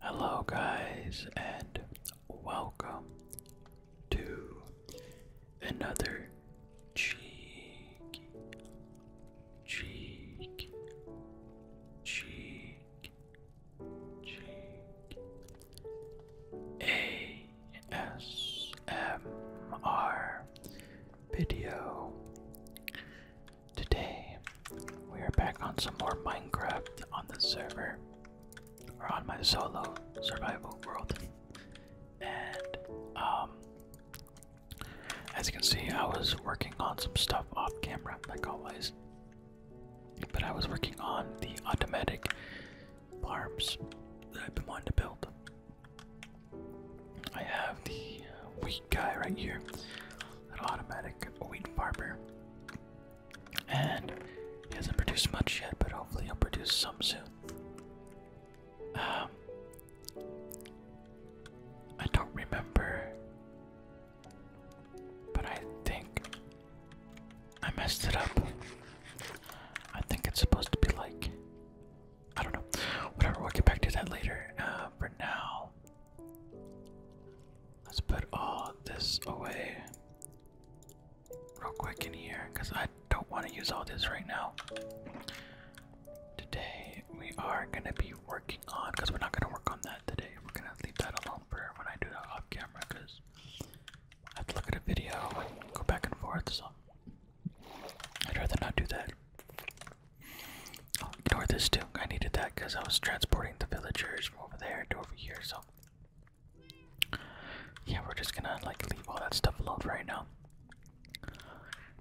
Hello, guys, and welcome to another cheek, cheek, cheek, cheek ASMR video. Today, we are back on some more Minecraft on the server, or on my solo survival world. And, um, as you can see, I was working on some stuff off camera, like always. But I was working on the automatic farms that I've been wanting to build. I have the wheat guy right here, an automatic wheat farmer. And he hasn't produced much yet, but hopefully he'll produce some soon. Um, I don't remember, but I think I messed it up. I think it's supposed to be like I don't know. Whatever. We'll get back to that later. Uh, for now, Let's put all this away real quick in here because I don't want to use all this right now. Today we are going to be working on, because we're not going to work on that today. We're going to leave that alone for when I do that off camera because I have to look at a video and go back and forth. So I'd rather not do that. Oh, this too. I needed that because I was transporting the villagers from over there to over here. So yeah, we're just gonna like leave all that stuff alone right now.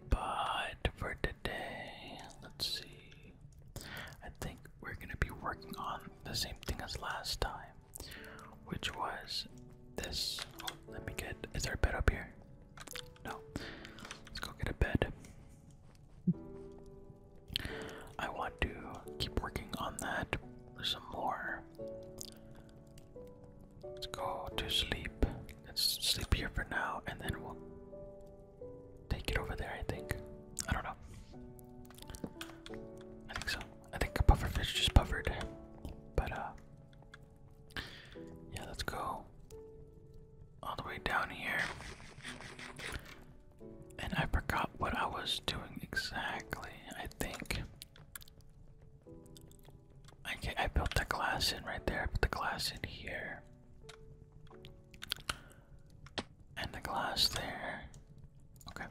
But for today, let's see. I think we're gonna be working on the same thing as last time, which was this. Oh, let me get. Is there a bed up here? No. Let's go get a bed. I want to keep working on that some more. Let's go to sleep. Let's sleep here for now and then we'll take it over there, I think. I don't know. I think so. I think a pufferfish just puffered. But, uh, yeah, let's go all the way down here. And I forgot what I was doing exactly. I think I I built the glass in right there. I put the glass in here, and the glass there. Okay.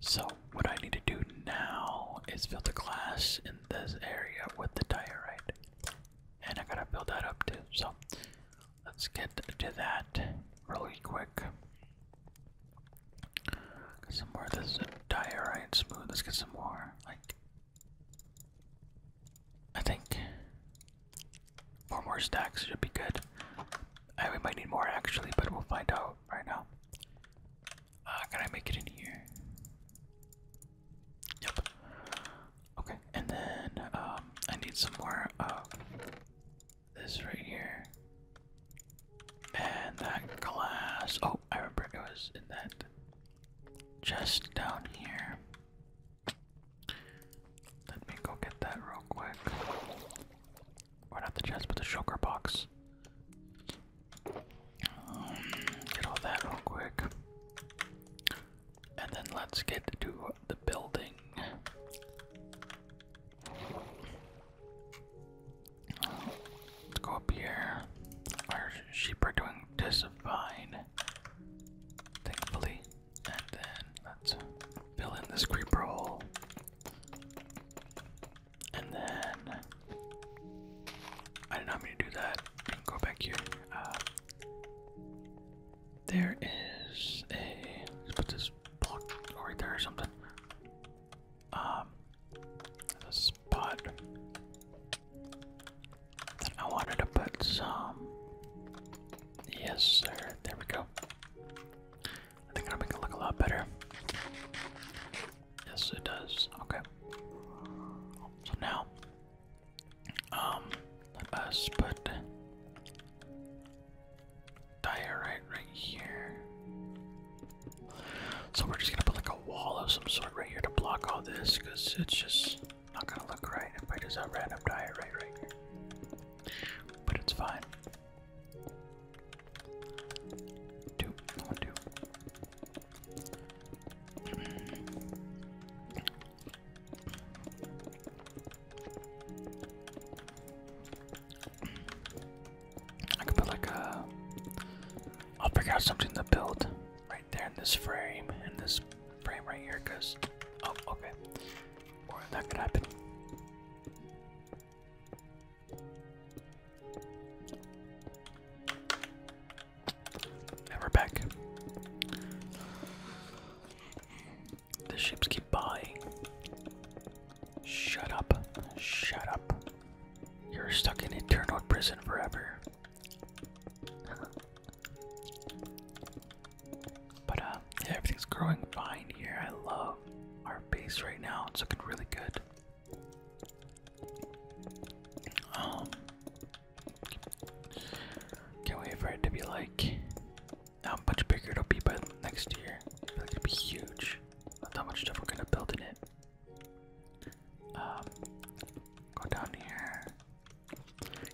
So what I need to do now is build the glass in this area with the diorite, and I gotta build that up too. So Let's get to that really quick. some more. This is a smooth. Let's get some more. Like, I think four more stacks should be good. I, we might need more actually, but we'll find out right now. Uh, can I make it in here? Yep. Okay, and then um, I need some more of uh, this right here. And that glass. Oh, I remember it was in that chest down here. Let me go get that real quick. not the chest, but the sugar box. Um, get all that real quick. And then let's get to the building. Let's go up here. Our sheep are doing just fine, thankfully. And then let's fill in this creeper hole. And then I did not mean to do that. Go back here. Uh, there is a. put this block right there or something. Um, a spot. I wanted to put some. Yes, sir. There we go. I think it'll make it look a lot better. Yes, it does. Okay. So now um, let us put diorite right here. So we're just gonna put like a wall of some sort right here to block all this, because it's just not gonna look right if I just have random diorite right here. But it's fine. Two, one, two. I could put like a. I'll figure out something to build right there in this frame, in this frame right here, because. Oh, okay. Or that could happen. And back. The ships keep buying. Shut up. Shut up. You're stuck in eternal prison forever. but uh, everything's growing fine here. I love our base right now. It's looking really good. Um, can't wait for it to be like how much bigger it'll be by next year. I feel like it'll be huge. Not that much stuff we're gonna build in it. Um, go down here.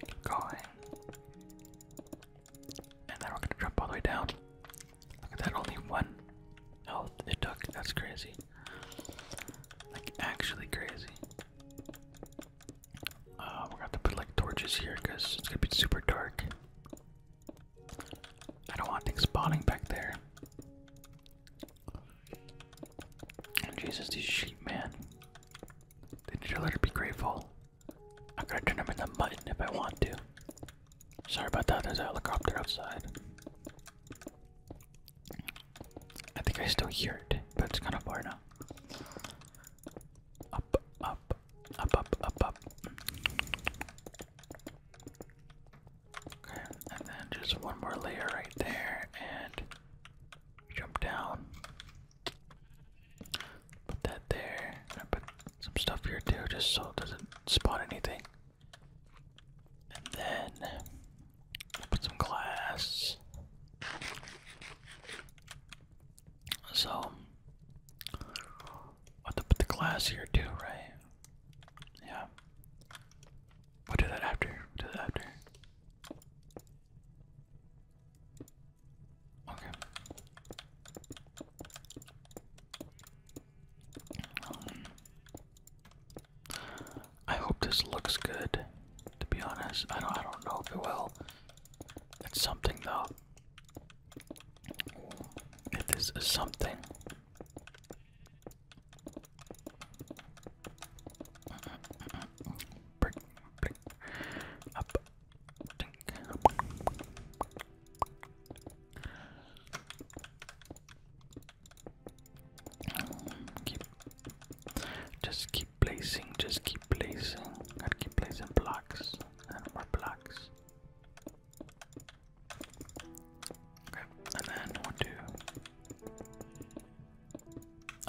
Keep going. And then we're gonna drop all the way down. Look at that, only one health it took. That's crazy. Like, actually crazy. Uh, we're gonna have to put like torches here because it's gonna be super dark. I don't want things spawning back there. Jesus, these sheep, man. They need to let her be grateful. I could have turned them into mutton if I want to. Sorry about that, there's a helicopter outside. I think I still hear it, but it's kind of far now. Up, up, up, up, up, up. Okay, and then just one more layer right there, and jump down. Put that there. And I put some stuff here too, just so it doesn't spot anything. And then put some glass. So, I have to put the glass here too, right? Yeah. We'll do that after. do that after. Okay. Um, I hope this looks good. To be honest, I don't. I don't know if it will. It's something though. It is something. Brick, brick, up, dink, up. Keep, just keep placing, just keep placing. got keep placing blocks and more blocks. Okay, and then what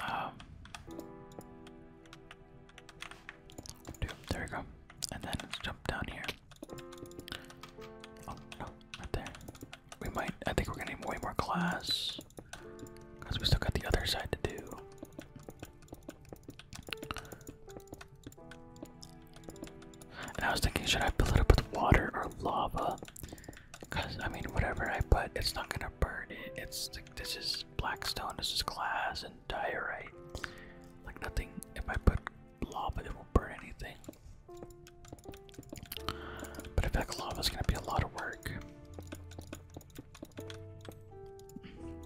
um, there we go. And then let's jump down here. Oh no, right there. We might. I think we're getting to way more glass because we still got the other side to do. I was thinking, should I fill it up with water or lava? Because, I mean, whatever I put, it's not going to burn it. It's this is black stone, this is glass and diorite. Like, nothing, if I put lava, it won't burn anything. But I feel lava is going to be a lot of work.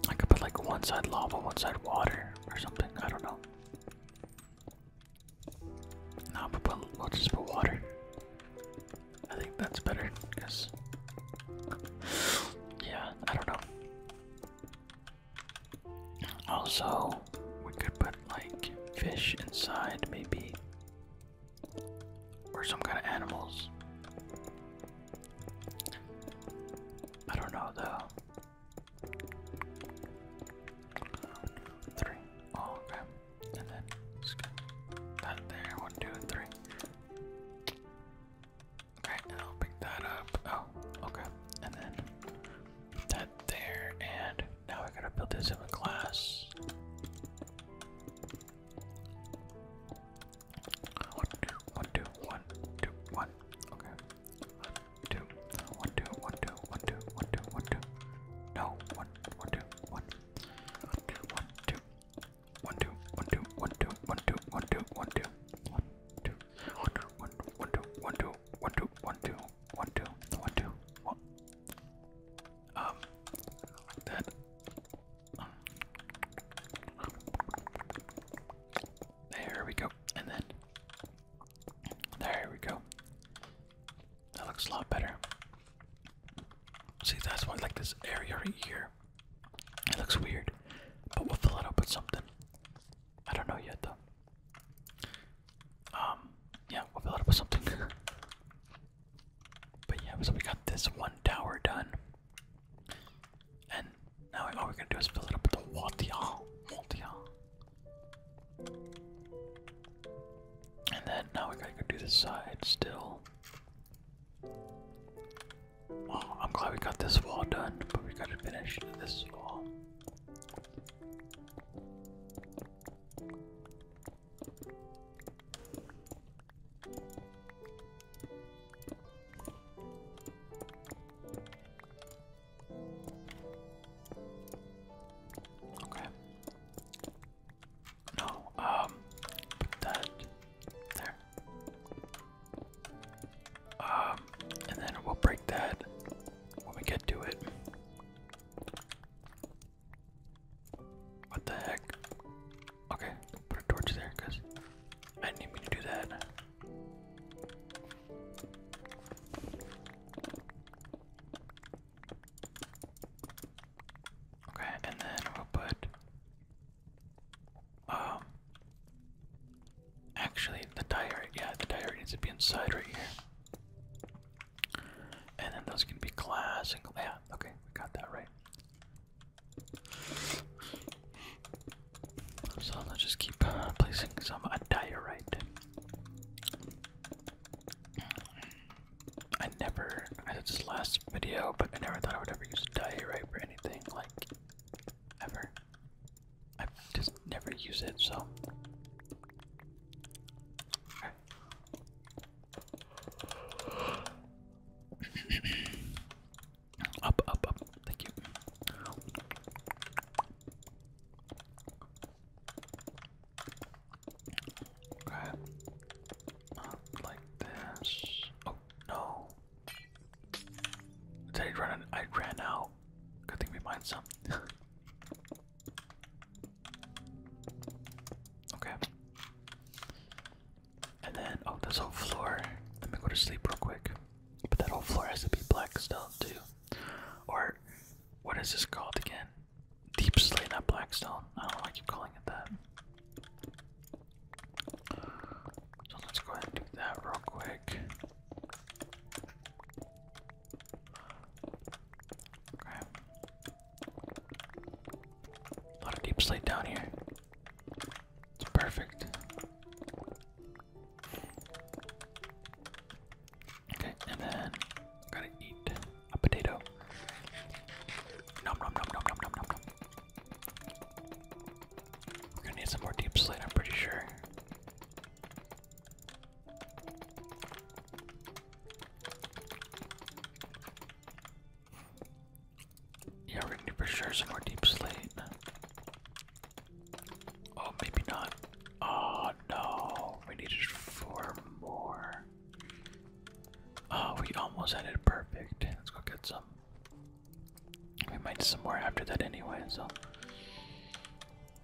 I could put like one side lava, one side water, or something. I don't know. No, we'll just put water. I think that's better, because. Yeah, I don't know. Also, we could put like fish inside, maybe. Or some kind of animals. I don't know though. Three. Oh, okay. And then that there. One, two, three. Okay, and I'll pick that up. Oh, okay. And then that there. And now I gotta build this in a class. One, two, one, two, one, two, one. Okay. One, two, one, two, one, two, one, two, one, two, one, two. No, one, one, two, one. One, two, one, two. One, two, one, two, one, two, one, two, one, two, one, two. One, two, one, two, one, one, two, one, two, one, two, one, two, one, two, one, two, one. Um, like that. There we go. And then. There we go. That looks a lot better. See, that's why I like this area right here. It looks weird. But we'll fill it up with something. I don't know yet, though. Um, yeah, we'll fill it up with something. But yeah, so we got this one tower done. And now all we're gonna do is fill it up with the water. And then now we gotta go do the side still. I'm glad we got this wall done, but we gotta finish this wall. Okay. No, um, put that there. Um, and then we'll break that when we get to it. What the heck? Okay, put a torch there because I didn't to do that. Okay, and then we'll put. Um. Actually, the tire, Yeah, the tire needs to be inside right here. And then those can be glass and. Yeah, okay, we got that right. So let's just keep uh, placing some diorite. I never, I did this last video, but I never thought I would ever use diorite for anything, like, ever. I just never use it, so up, up, up. Thank you. Okay. Up like this. Oh no. I I ran out. Good thing we mined some. okay. And then, oh, this whole floor. Let me go to sleep real quick. But that whole floor has to be black stone too. Or, what is this called again? Deep slate, not black stone. I don't know why I keep calling it that. So let's go ahead and do that real quick. Okay. A lot of deep slate down here. It's perfect. Okay, and then gotta eat a potato. We're gonna need some more deep slate, I'm pretty sure. Yeah, we're gonna do for sure some more deep slate. Oh, maybe not. Oh no, we needed four more. Oh, we almost had it perfect. Let's go get some. We might do some more after that anyway, so.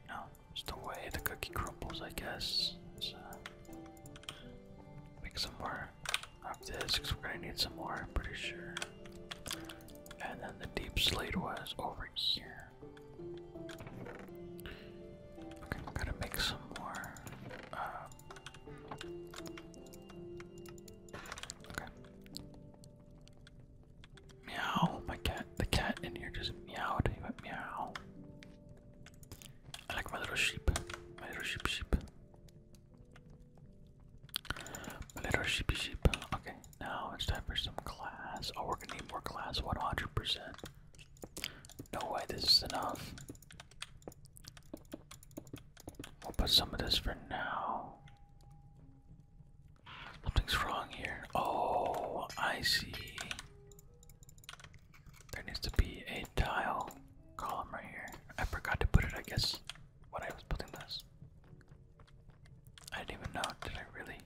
No, just the way the cookie crumbles, I guess. So, make some more of this because we're gonna need some more, I'm pretty sure. And then the deep slate was over here. Okay, I'm gonna make some more. Uh, okay. Meow, my cat. The cat in here just meowed. meow. I like my little sheep. My little sheep sheep. My little sheepy sheep. Okay, now it's time for some class. Oh, we're gonna need more class, 100%. No way, this is enough. We'll put some of this for now. Something's wrong here. Oh, I see. There needs to be a tile column right here. I forgot to put it, I guess, when I was building this. I didn't even know. Did I really?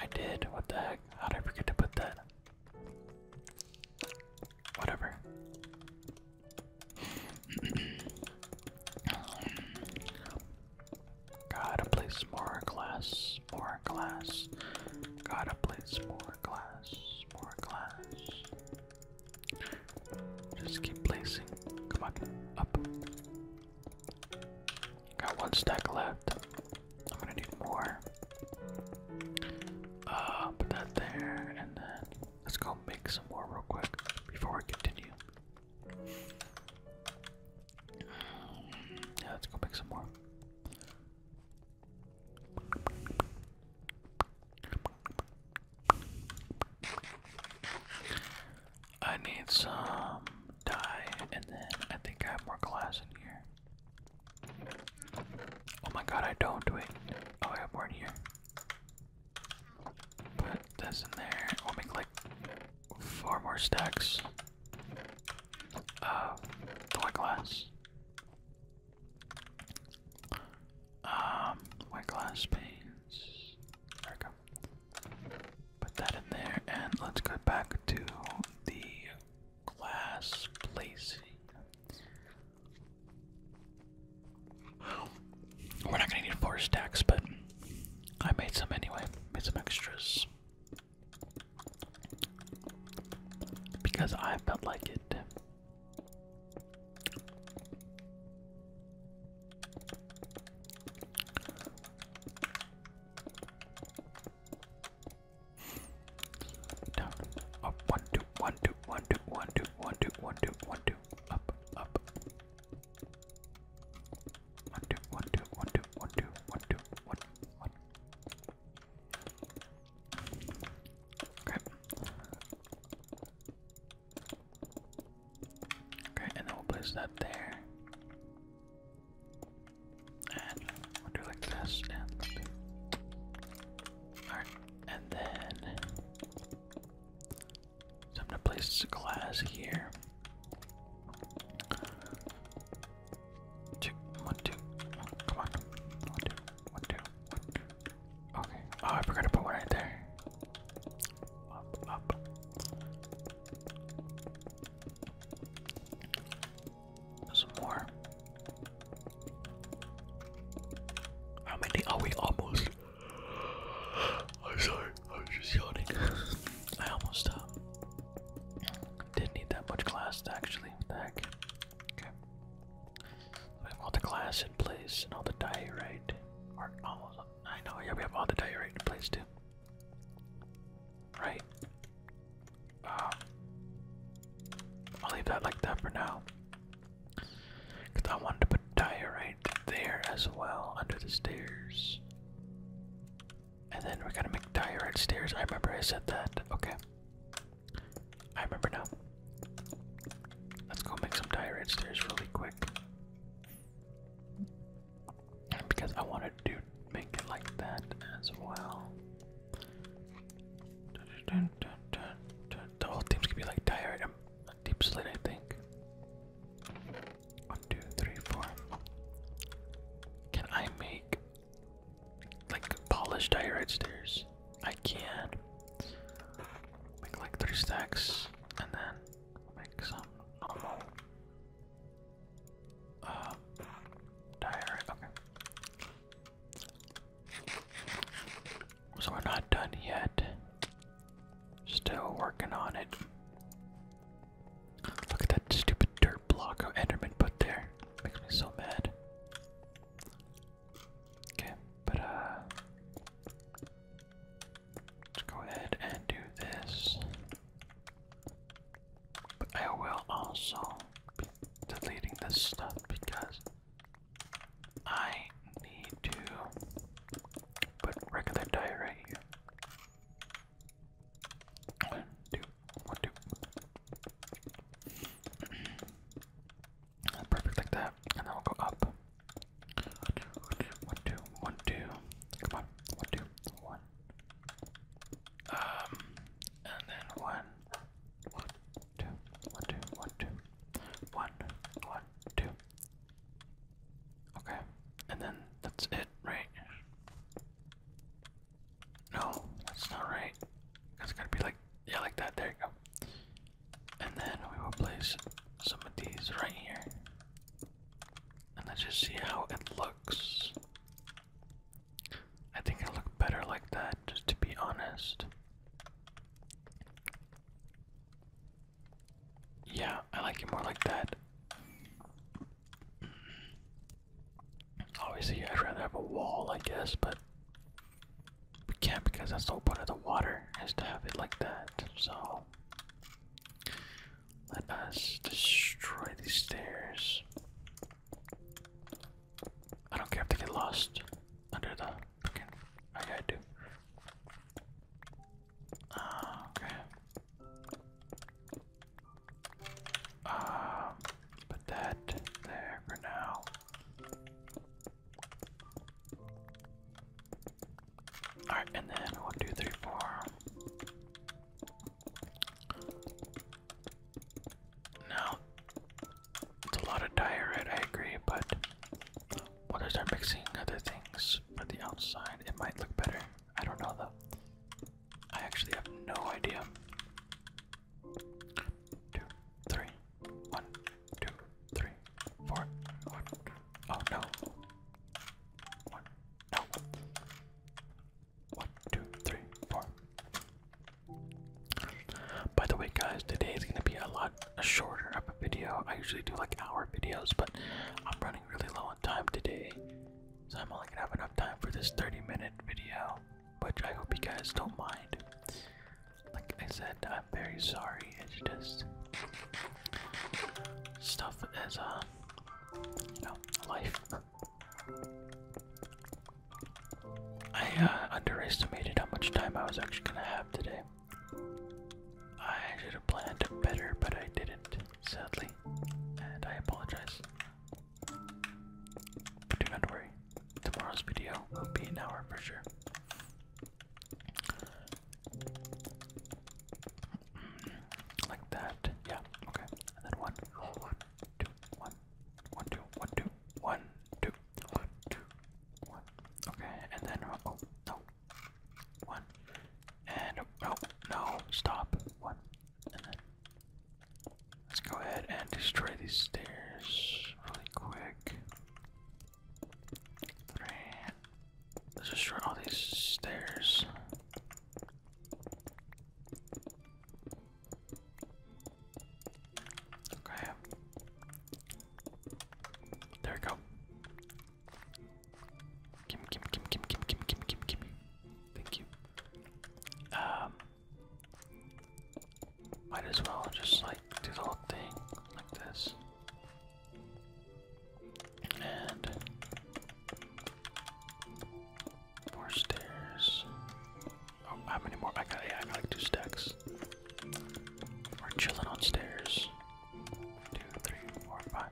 I did. What the heck? How did I forget to put that? Whatever. Gotta place more glass, more glass. Gotta place more more glass, more glass. Just keep placing. Come on, up. Got one stack left. I'm gonna need more. Uh, put that there, and then let's go make some more real quick before we continue. Yeah, let's go make some more. I need some dye, and then I think I have more glass in here. Oh my god, I don't do it. Oh, I have more here. Put this in there. We'll make like four more stacks of uh, glass. Um, my glass panes. There we go. Put that in there, and let's go back to the glass placing. We're not gonna need four stacks, but I made some anyway. Made some extras. Because I felt like it. Down, up, one, two, one, two, one, two, one, two, one, two, one, two, one, two, up, up. One, two, one, two, one, two, one, two, one, two, one, one. Crap. Okay, and then we'll place that there. And we like this and Alright, and then so I'm gonna place this glass here two, one, two, one, come on, one, two, one, two, one, two. Okay. Oh, I forgot to put one right there. Up, up. Some more. How many are we almost? I'm sorry, I was just yawning. I almost uh, didn't need that much glass actually. What the heck? Okay. We have all the glass in place and all the diorite. Or almost. I know, yeah, we have all the diorite in place too. Right? Um, I'll leave that like that for now. Because I want to put diorite there as well, under the stairs. And then we're gonna make diorite stairs. I remember I said that. Okay. I remember now. Let's go make some tirade stairs really quick. Because I wanted to make it like that as well. The whole team's gonna be like tired. I'm deep slit, I think. One, two, three, four. Can I make like polished diorite stairs. I can make like three stacks and then make some uh, diorite. Okay. So we're not done yet. Still working on it. Look at that stupid dirt block of Enderman put there. Makes me so mad. Okay, but uh let's go ahead and do this. But I will also be deleting this stuff because I need to put regular diary here. One, two, one, two. Perfect like that. And then we'll go up. One, two, one, two. Come on. One, two, one. Um, and then one. Okay. And then that's it, right? No, that's not right. It's gotta be like, yeah, like that. There you go. And then we will place some of these right here. And let's just see how it looks. I think it'll better like that, just to be honest. Yeah, I like it more like that. Obviously, I'd rather have a wall, I guess, but we can't because that's the whole point of the water is to have it like that. So let us destroy these stairs. I don't care if they get lost under the ah, okay. okay. Um, put that there for now. Alright, and then one, two, three, four. Now, it's a lot of diorite, I agree, but what is our mixing other things for the outside? It might look better. I don't know though. I actually have no idea two, three, one, two, three, four, one. Oh no. One, no. One, two, three, four. By the way, guys, today is gonna be a lot shorter of a video. I usually do like hour videos, but I'm running really low on time today, so I'm only gonna have enough time for this 30-minute video which I hope you guys don't mind. Like I said, I'm very sorry. It's just stuff as a uh, you know, life. I uh, underestimated how much time I was actually gonna have today. I should have planned better, but I didn't, sadly, and I apologize do not worry, tomorrow's video will be an hour for sure. Mm, like that, yeah, okay. And then one, one, two, one, one, two, one, two, one, two, one, two, one. Okay, and then oh, oh no, one, and no, oh, no, stop, one, and then Let's go ahead and destroy these stairs really quick. let Let's destroy all these stairs. Okay. There we go. Gimme, gimme, gimme, gimme, give Thank you. Um, might as well just like do the whole thing like this. And more stairs. Oh, how many more? I got, yeah, I got like two stacks. We're chilling on stairs. Two, three, four, five.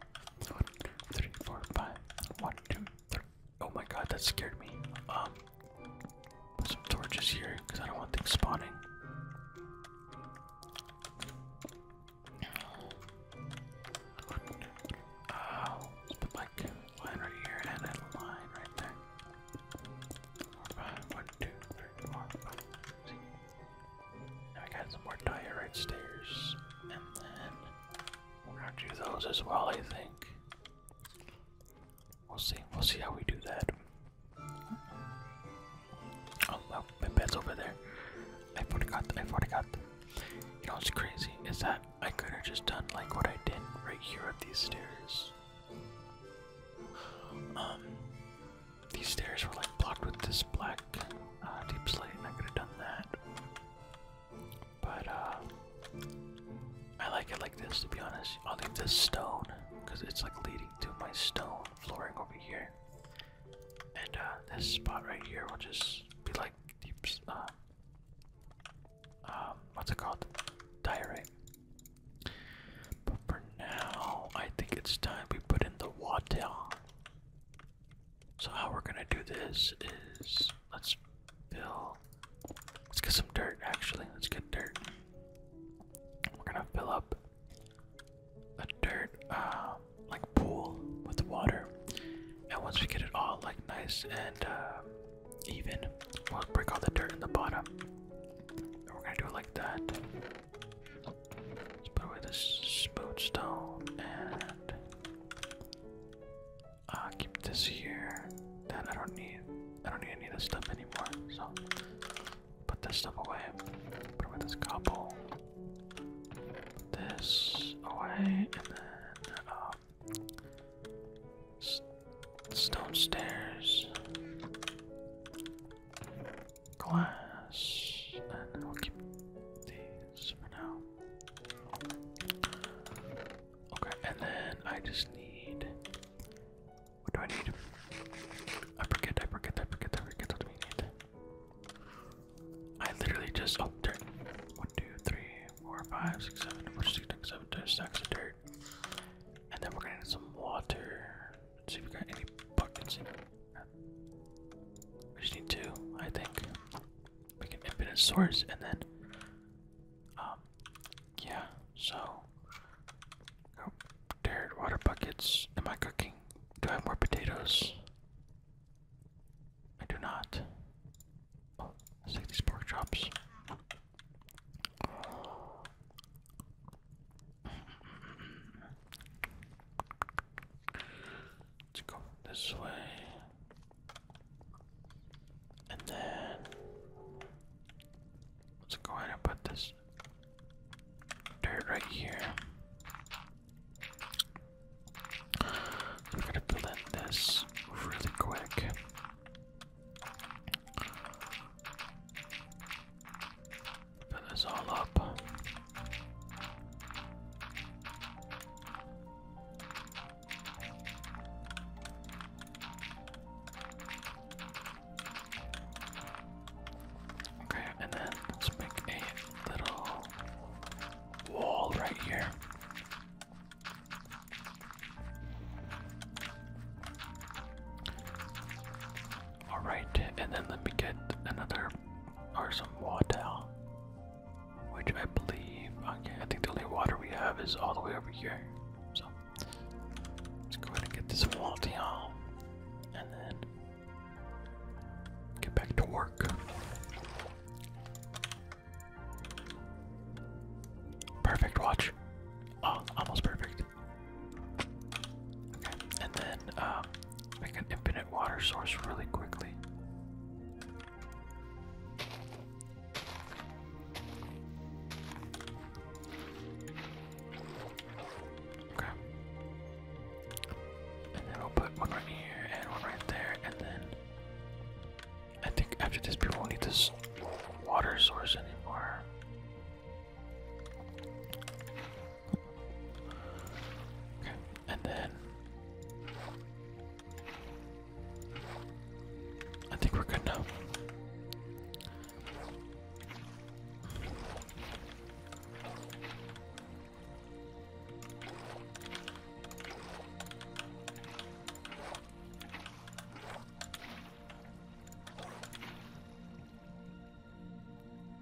One, two, three, four, five. One, two, Oh my god, that scared me. Um, put some torches here because I don't want things spawning. Uh, put like a line right here and a line right there. Four, five, one, two, three, four, five, six. Now I got some more diorite stairs, and then we're gonna do those as well, I think. We'll see. We'll see how we do that. Oh my bed's over there. I forgot. I forgot. You know what's crazy is that I could have just done like what I did right here at these stairs. Um, these stairs were like blocked with this black uh, deep slate, and I could have done that. But uh, I like it like this to be honest. I'll this stone because it's like leading to my stone flooring over here. And uh, this spot right here will just be like deep, uh, um, what's it called? Diorite. But for now, I think it's time we put in the water. So how we're gonna do this is Let's fill. Let's get some dirt, actually. Let's get dirt. We're gonna fill up a dirt, uh, like pool with water. And once we get it all like nice and uh, even, we'll break all the dirt in the bottom. And we're gonna do it like that. Let's put away this smooth stone and uh, keep this here. Then I don't need, I don't need any of this stuff anymore. So put this stuff away. Put away this couple. this away, and then uh, stone stairs, glass, and then we'll keep these for now. Okay, and then I just need. What do I need? I forget, I forget, I forget, I forget what we need. I literally just. Oh, dirt. 1, 2, 3, 4, 5, 6, 7, 4, 6, 7, 10 stacks of dirt. And then we're gonna need some water. Let's see if we got any buckets in here. We just need two, I think we can infinite source and then um yeah so oh there water buckets am I cooking do I have more potatoes I do not oh take these pork chops Let's go this way. And then let's go ahead and put this dirt right here. We're gonna blend this really quick. Put this all up. Okay, and then let's make a little wall right here. Alright, and then let me get another or some water. Which I believe, I think the only water we have is all the way over here. So, let's go ahead and get this wall down. And then, get back to work. Perfect watch. Oh, almost perfect. Okay, and then, make uh, an infinite water source really quickly. Okay. And then we'll put one right here and one right there, and then I think after this we won't need this water source anymore. Okay, and then I think we're good now.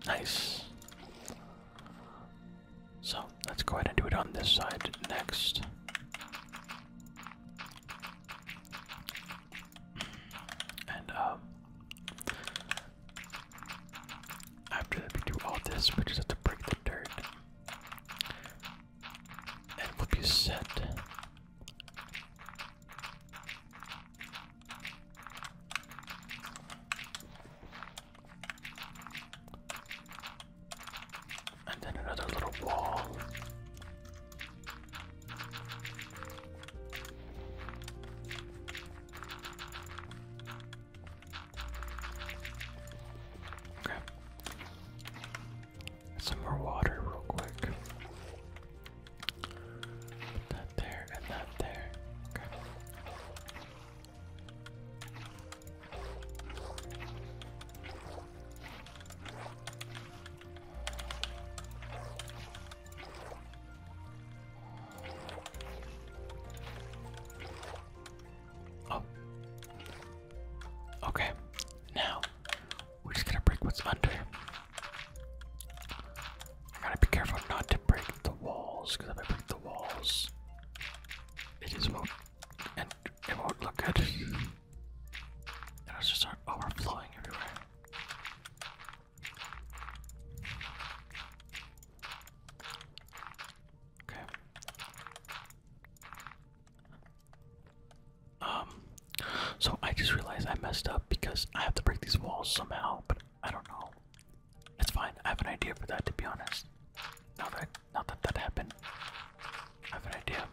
Nice. So let's go ahead and do it on this side next. And um, after we do all this, we just have to break the dirt. And we'll set. And then another little wall. Okay. Some more water, real quick. that there and that there. Okay. Oh. Okay. Now we're just gonna break what's under. I gotta be careful not to break the walls, because if I break the walls, it just won't and it won't look good. It's just overflowing everywhere. Okay. Um, so I just realized I messed up because I have to break these walls somehow, but I don't know. It's fine. I have an idea for that, to be honest. Now not that that happened. I have an idea.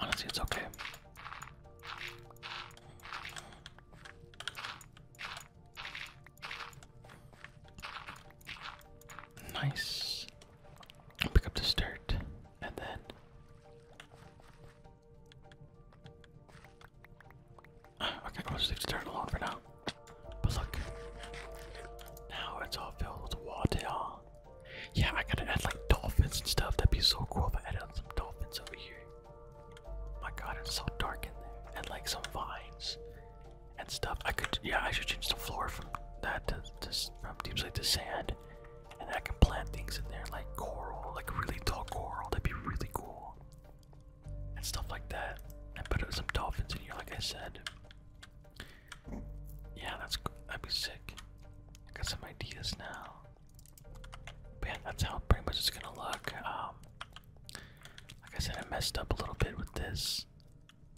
Honestly, it's okay. Nice. Pick up this dirt and then Okay, I'll just turn it off for now. But look, now it's all filled with water. Yeah, I gotta add like dolphins and stuff. That'd be so cool if I add some dolphins over here. My god, it's so dark in there. And like some vines and stuff. I could, yeah, I should change the floor from that to just from deep slate to sand. And I can plant things in there like coral, like really tall coral. That'd be really cool and stuff like that. I put some dolphins in here, like I said. Yeah, that's that'd be sick. I got some ideas now. man. that's how pretty much it's gonna look. Um, like I said, I messed up a little bit with this,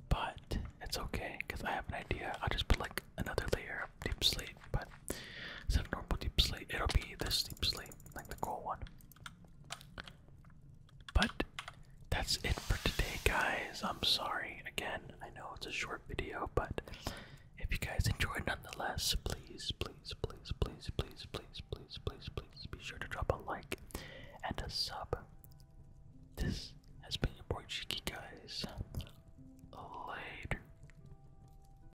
but it's okay because I have an idea. I'll just put like another layer of deep sleep but instead of normal deep sleep, it'll be this deep sleep, like the goal one. But that's it for today, guys. I'm sorry again. I know it's a short video, but if you guys enjoyed nonetheless, please, please, please, please, please, please, please, please, please be sure to drop a like and a sub. This has been your boy Cheeky, guys. Later.